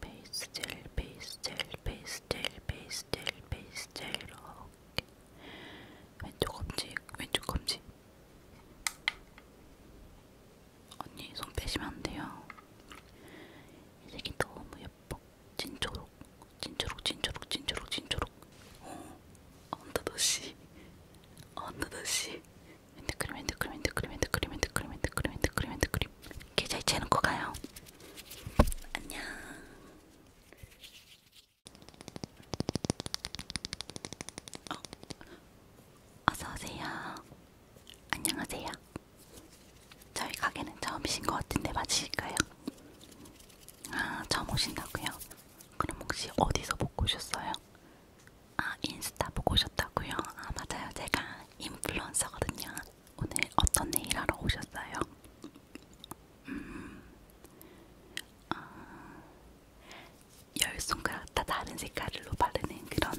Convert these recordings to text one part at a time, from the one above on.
베이스 젤, 베이스 젤, 베이스 젤, 베이스 젤, 베이스 젤, 이렇게 왼쪽 검지, 왼쪽 검지. 언니 손 빼시면 안 돼요. 이 색이 너무 예뻐. 진초록, 진초록, 진초록, 진초록, 진초록. 어, 언더더시, 언더더시. 핸드크림, 핸드크림, 핸드크림, 핸드크림, 핸드크림, 핸드크림, 핸드크림, 핸드크림. 계좌 이체는 거 가요. 안녕. 어, 어서 오세요. 안녕하세요. 저희 가게는 처음이신 것 같은데 맞으실까요? 아, 처음 오신다고요? 그럼 혹시 어디서 보고 오셨어요? 아, 인스타 보고 오셨다고요? 아, 맞아요. 제가 인플루언서거든요. 오늘 어떤 일 하러 오셨어요? 음, 아, 열 손가락 다 다른 색깔로 바르는 그런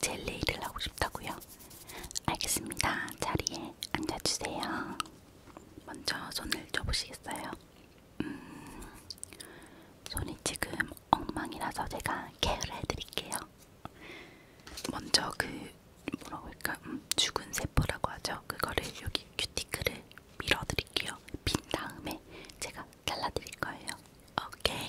젤리 일을 하고 싶다고요? 알겠습니다. 자리에 앉아주세요. 먼저 손을 줘보시겠어요? 음, 손이 지금 엉망이라서 제가 케어를 해드릴게요. 먼저 그 뭐라고 할까? 음, 죽은 세포라고 하죠. 그거를 여기 큐티클을 밀어드릴게요. 빈 다음에 제가 잘라드릴 거예요. 오케이.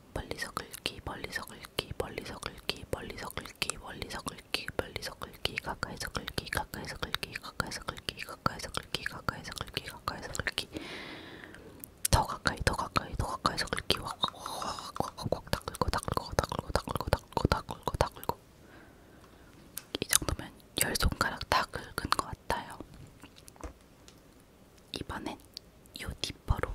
멀리서 긁기, 멀리서 긁기, 멀리서 긁기, 멀리서 긁기, 멀리서 긁기, 멀리서 긁기, 가까이서 긁기, 가까이서 긁기, 가까이서 긁기, 가까이서 긁기, 가까이서 긁기, 가까이서 긁기, 더 가까이, 더 가까이, 더 가까이서 긁기, 확확확확확 다 긁고, 다 긁고, 다 긁고, 다 긁고, 다 긁고, 다 긁고, 다 긁고. 이 정도면 열 손가락 다 긁은 것 같아요. 이번엔 요 니퍼로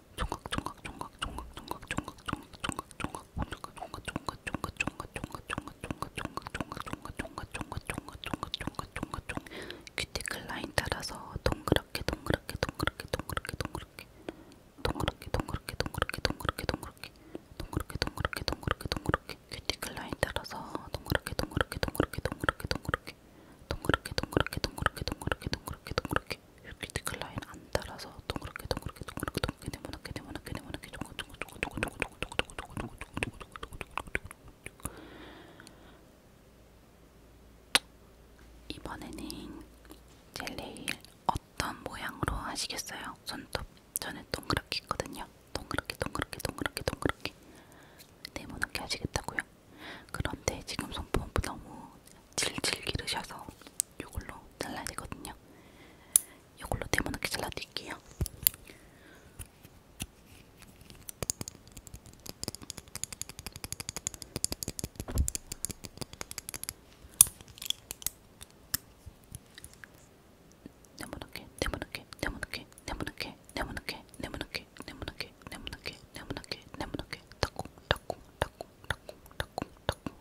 큐티클 라인 따라서 동그랗게 동그랗게 동그랗게 동그랗게 동그랗게 동그랗게 동그랗게 동그랗게 동그랗게 동그랗게 동그랗게 동그랗게 동그랗게 동그랗게 큐티클 라인 따라서 동그랗게 동그랗게 동그랗게 동그랗게 동그랗게 동그랗게 동그랗게 동그랗게 동그랗게 동그랗게 동그랗게 큐키트 클라인 안 달아서 동그랗게 동그랗게 동그랗게 동그랗게 네모나게 네모나게 네모나게 이번에는 젤레일 어떤 모양으로 하시겠어요? 손톱 전에 동그랗게 했거든요. 동그랗게 동그랗게 동그랗게 동그랗게 네모나게 하시겠다고요? 그런데 지금 손톱 너무 질질 기르셔서 이걸로 잘라야 되거든요. 이걸로 네모나게 잘라드릴게요. 네모나게, 네모나게, 네모나게, 네모나게, 네모나게, 네모나게, 네모나게, 네모나게, 네모나게, 네모나게, 콩 닭콩, 닭콩, 닭콩, 닭콩, 닭콩,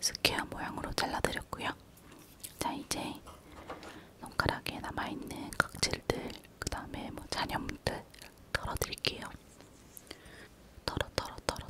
스퀘어 모양으로 잘라드렸고요. 자 이제 손가락에 남아있는 각질들, 그 다음에 뭐 잔염들 털어드릴게요. 털어 털어 털어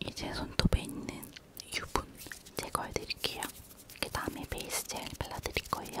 이제 손톱에 있는 유분 제거해 드릴게요. 그 다음에 베이스 젤 발라 드릴 거예요.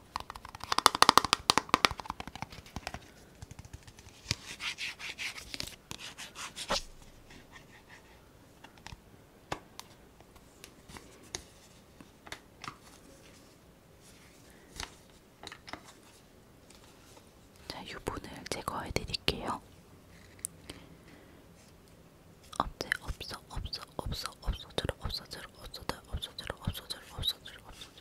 자, 유분을 제거해 드릴게요. 없지 없어 없어 없어 없어져라 없어져라 없어져라 없어져라 없어져라 없어져라 없어져라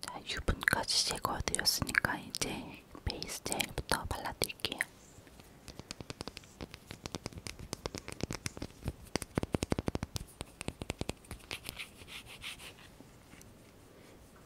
자, 유분까지 제거해드렸으니까 이제 베이스 젤부터 발라드릴게요.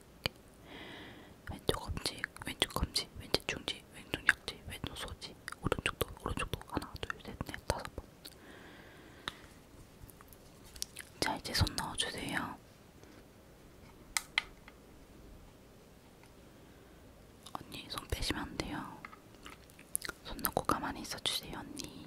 이렇게. 왼쪽 엄지, 왼쪽 검지, 왼쪽 중지, 왼쪽 약지, 왼쪽 소지, 오른쪽도, 오른쪽도 하나, 둘, 셋, 넷, 다섯 번. 자, 이제 손 넣어주세요. 언니, 손 빼시면 안 돼요. 손 넣고 가만히 있어주세요, 언니.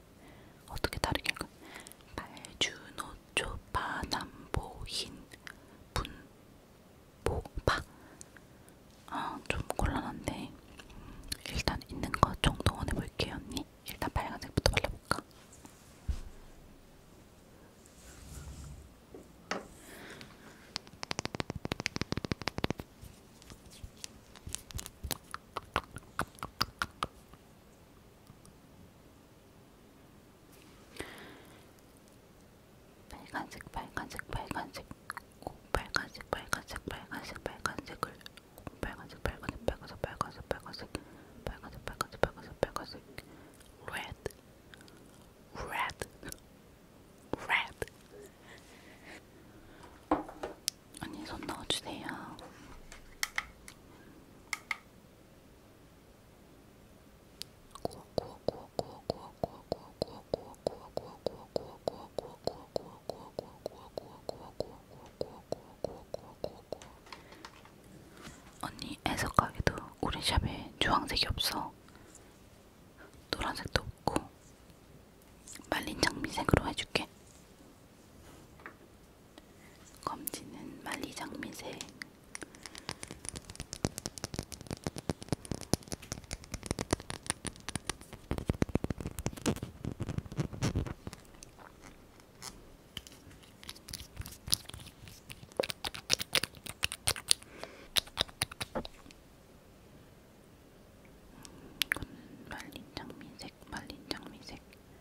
어떻게 다르게 할까? 발주노초파남보흰 분보파 아, 좀 곤란한데 음, 일단 있는 것 정도원 해볼게요 언니 일단 빨간색부터 발라볼까? 빨간색, 빨간색, 빨간색, 꼭 빨간색, 빨간색, 빨간색, 빨간색을 꼭 빨간색, 빨간색, 빨간색, 빨간색, 빨간색, 빨간색, 빨간색, 빨간색, 빨간색, red, red, red. 언니 손 넣어주세요. 구워 구워 구워 구워 구워 구워 구워 구워 구워 구워 구워 구워 구워 구워 구워 구워 구워 구워 구워 언니 애석하게도 우리 샵에 주황색이 없어. 노란색도 없고 말린 장미색으로 해줄게. 검지는 음, 만리장미색 이거는 말린 장미색, 말린 장미색.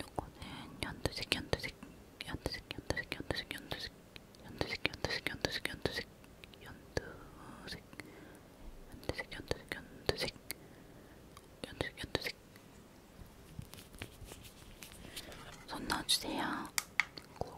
요거는 연두색, 연두색, 연두색, 연두색, 연두색, 연두색, 연두색, 연두색, 연두색, 연두색, 연두색, 연두색, 연두색, 연두색, 연두색, 연두색. 손 넣어주세요. 고,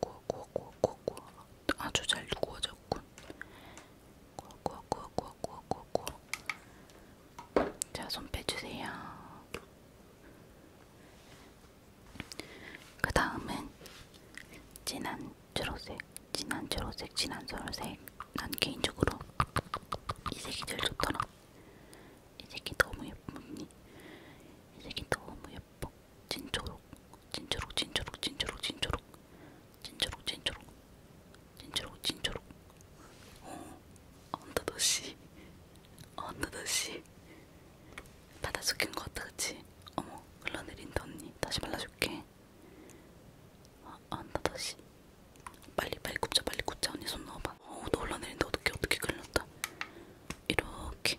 구워구워구워구워구워 아, 아주 잘 구워졌군 구워구워구워구워구워 자, 손 빼주세요 그 다음은 진한 주로색 진한 주로색 진한 주로색 난 개인적으로 이 색이 제일 좋더라 이 색이 너무 예쁩니다 이 색이 너무 예뻐 진초록 진초록 진초록 진초록 진초록 진초록 진초록 진초록 진초록 어, 언더더시 언더더시 바다 숙인 것 같다 그치? 어머 흘러내린다 언니 다시 발라줄게 어, 언더더시 빨리 빨리 굽자 빨리 굽자 언니 손 넣어봐 어우 너 흘러내린다 어떻게 어떻게 걸렸다 이렇게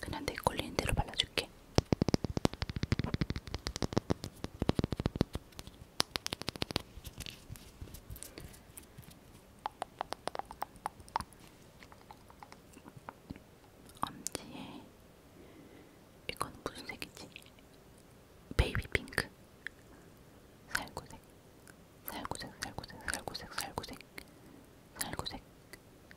그냥 내 걸리는 대로 발라줄게. 엄지에 이건 무슨 색이지? 베이비 핑크. 살구색, 살구색, 살구색, 살구색, 살구색, 살구색,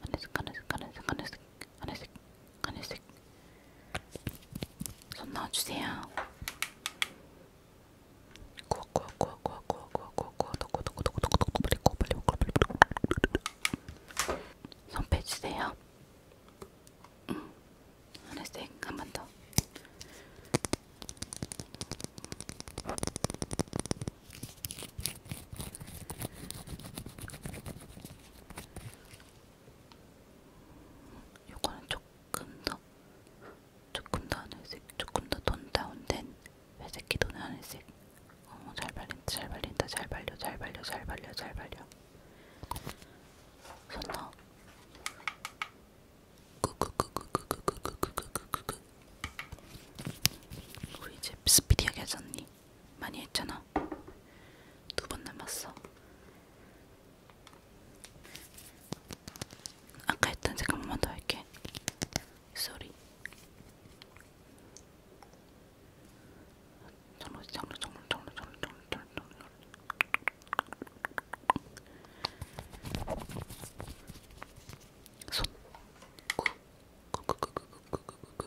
하늘색 하늘색 하늘색 하늘색 하늘색 하늘색 손 넣어주세요 구워 구워 구워 구워 구워 구워 구워 구워 넣고 넣고 넣고 넣고 넣고 빨리 구워 빨리 구워 빨리 구워 손 빼주세요 응 하늘색 한번더 요거는 조금 더 조금 더 하늘색, 조금 더 톤 다운된 회색 기톤 하늘색. 어머 잘 발린다, 잘 발린다, 잘 발려, 잘 발려, 잘 발려, 잘 발려. 손 넣어. 꾹꾹꾹꾹꾹꾹꾹꾹꾹꾹 우리 이제 스피디하게 하잖니. 많이 했잖아. 두 번 남았어. 아까 했던 잠깐만 더 할게. 쏘리. 정로 정로 정로 정로 정로 정로 정로 정로 손. 구구구구구구구구구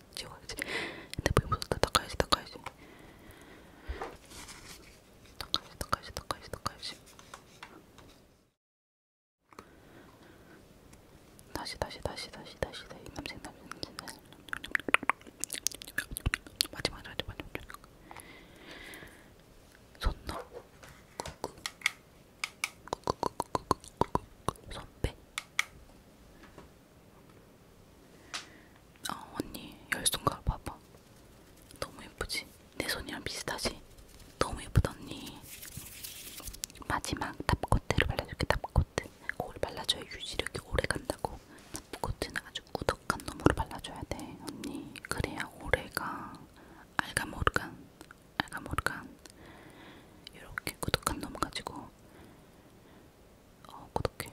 묻었어 지워야지 핸드폰이 묻었다 닦아야지 닦아야지 닦아야지 닦아야지 닦아야지 닦아야지 다시 다시 다시 다시 다시 다시 남색 남색 남색 남색 마지막 마지막 마지막 손넣 손빼 아 언니 열손가락 봐봐. 너무 예쁘지? 내 손이랑 비슷하지? 너무 예쁘다 언니. 마지막 탑코트를 발라줄게 탑코트. 그걸 발라줘야 유지력이 오래 간다고. 탑코트는 아주 꾸덕한 놈으로 발라줘야 돼 언니. 그래야 오래가. 알가모르간 알가모르간 이렇게 꾸덕한 놈 가지고 어, 구독해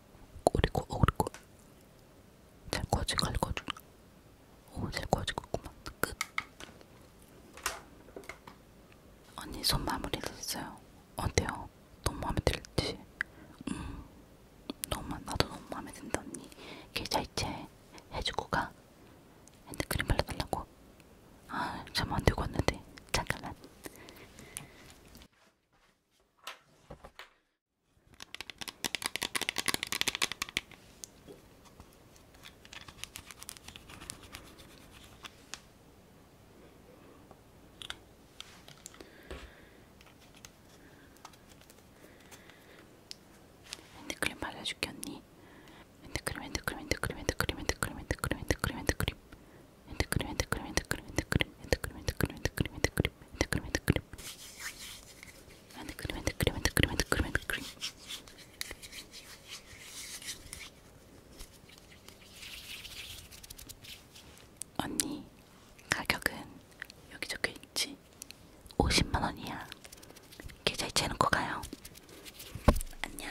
꼬리고 오리고 잘 꺼지고 갈거지 오잘 꺼지고 있구만 끝 언니 손 마무리 됐어요 어때요? 너무 마음에 들지? 음 너무 나도 너무 마음에 든다 언니 계좌 이체 해주고 가 핸드크림 발라달라고 아잠 안되고 왔는데 잠깐만 핸드크림 발라줄게 언니 핸드크림 핸드크림 핸드크림 핸드크림 핸드크림 핸드크림 핸드크림 핸드크림 핸드크림 핸드크림 핸드크림 핸드크림 핸드크림 핸드크림 핸드크림 핸드크림 핸드크림 핸드크림 핸드크림 핸드크림 핸드크림 핸드크림 핸드크림 언니 가격은 여기 적혀있지 50만원이야 계좌이체 해놓고 가요 안녕